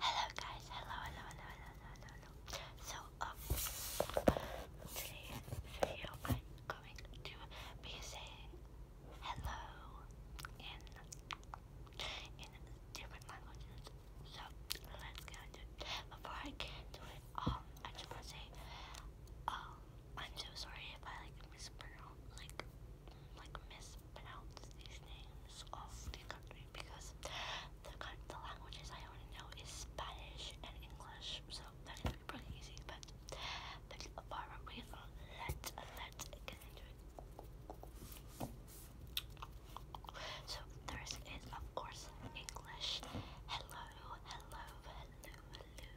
Hello guys, hello, So, um, today's video I'm going to be saying hello in, in different languages. So, let's get into it. Before I get into it, um, I just want to say, um, I'm so sorry if I, like, mispronounce, like, like, miss pronounce these names of the country because the the languages I only know is Spanish and English, so that is pretty easy. But that's a part of it. let let get into it. So there is, of course, English. Hello, hello, hello, hello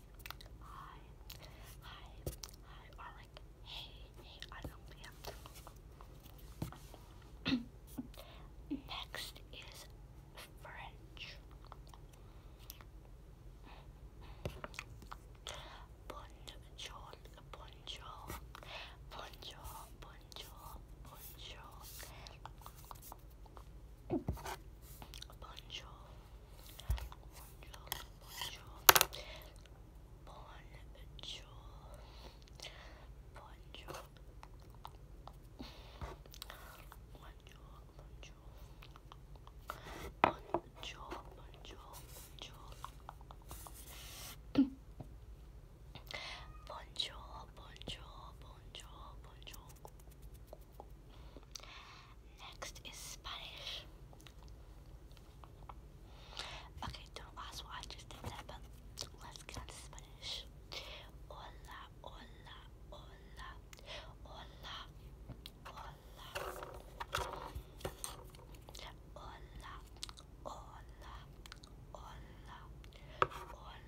hi, hi, hi, or like, hey, hey, I don't know, Next is French. Bonjour, bonjour, bonjour, bonjour, bonjour. Bonjour. Bonjour. Bonjour. Bonjour. Bonjour. Bonjour. Bonjour. Bonjour. Bonjour. Bonjour, Next is Spanish. Okay, don't ask why just did let's get on Spanish. Hola, hola, hola, hola, hola, hola, hola, hola, hola.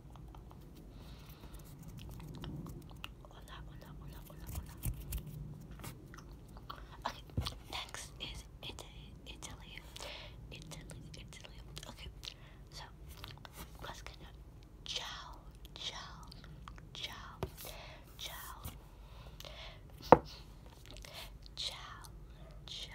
Hola, hola, hola, hola, hola. Okay, next is Italy, Italy, Italy, Okay, so let's get down. Ciao, ciao, ciao, ciao, ciao, ciao,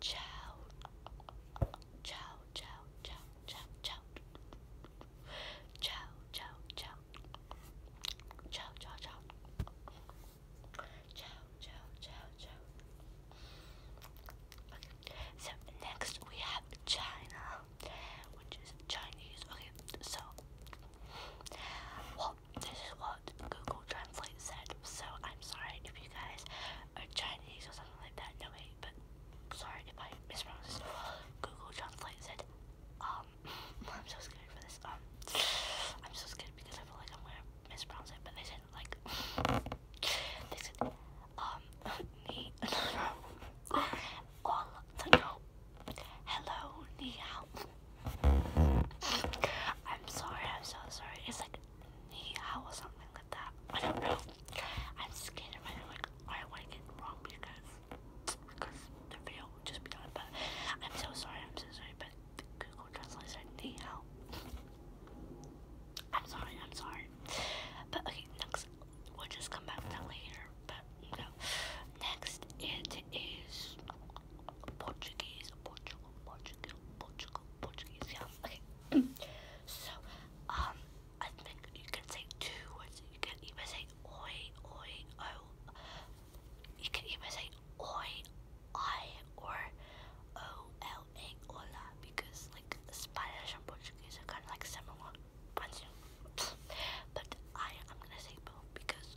Ciao. Ciao, ciao, ciao, ciao, ciao. Ciao, ciao, ciao. Ciao, ciao, ciao. Ciao, ciao, ciao, ciao. Okay. So next we have China, which is Chinese. Okay, so what this is what Google Translate said, so I'm sorry if you guys are Chinese or something like that. No, wait, but sorry if I mispronounced Google Translate said, um, I'm so scared for this. Um, I'm so scared because I feel like I'm gonna mispronounce it, but they said, like, they said, um, ni, all, no, hello, ni I'm sorry, I'm so sorry. It's like knee or something like that. I don't know. I'm scared of it. Like, I want to get wrong because, because the video just be But I'm so sorry, I'm so sorry. But Google Translate said knee I'm sorry, I'm sorry. But okay, next, we'll just come back to that later. But no. Next, it is. Portuguese, Portugal, Portugal, Portugal, Portuguese, yeah, okay, so, um, I think you can say two words, you can either say oi, oi, oh, you can either say oi, I, or O-L-A, hola, because, like, Spanish and Portuguese are kind of, like, similar, but, I, am gonna say both, because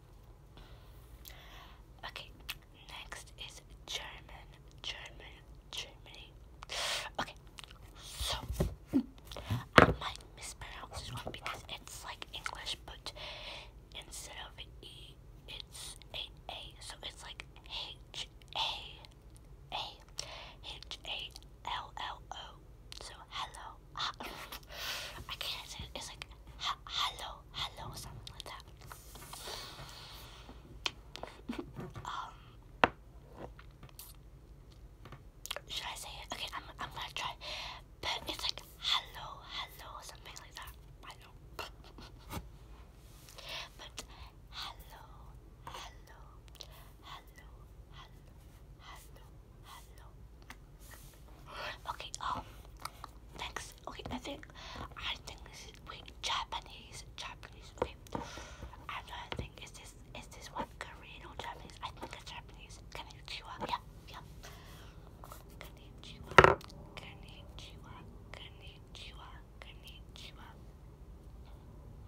Okay, next is German, German, Germany. Okay, so I might mispronounce this one because it's like English, but instead of E, it's a A, so it's like H A A H A L L O so hello, uh, I can't say it. It's like ha hello, hello, something like that. um, should I say it? Okay, I'm I'm gonna try. But it's like hello, hello, something like that. I know. but hello, hello, hello, hello, hello, hello. Okay, um, next, okay, I think, I think this is, wait, Japanese, Japanese, wait, I'm trying think, is this, is this one Korean or Japanese? I think it's Japanese, konnichiwa, yeah, yeah, konnichiwa, konnichiwa, konnichiwa, konnichiwa,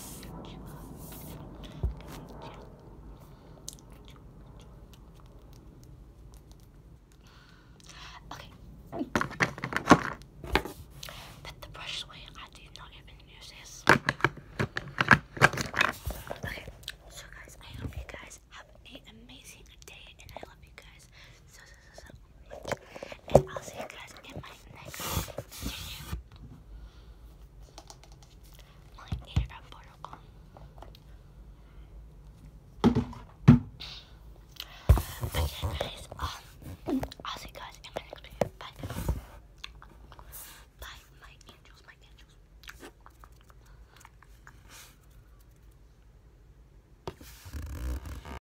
Okay. Put the brush away. I did not even use this. Okay. So guys, I hope you guys have an amazing day and I love you guys so so And I'll see you guys in my next video. My internet protocol. But yeah, guys, um, I'll see you guys in my next video. Bye. Bye, my angels, my angels.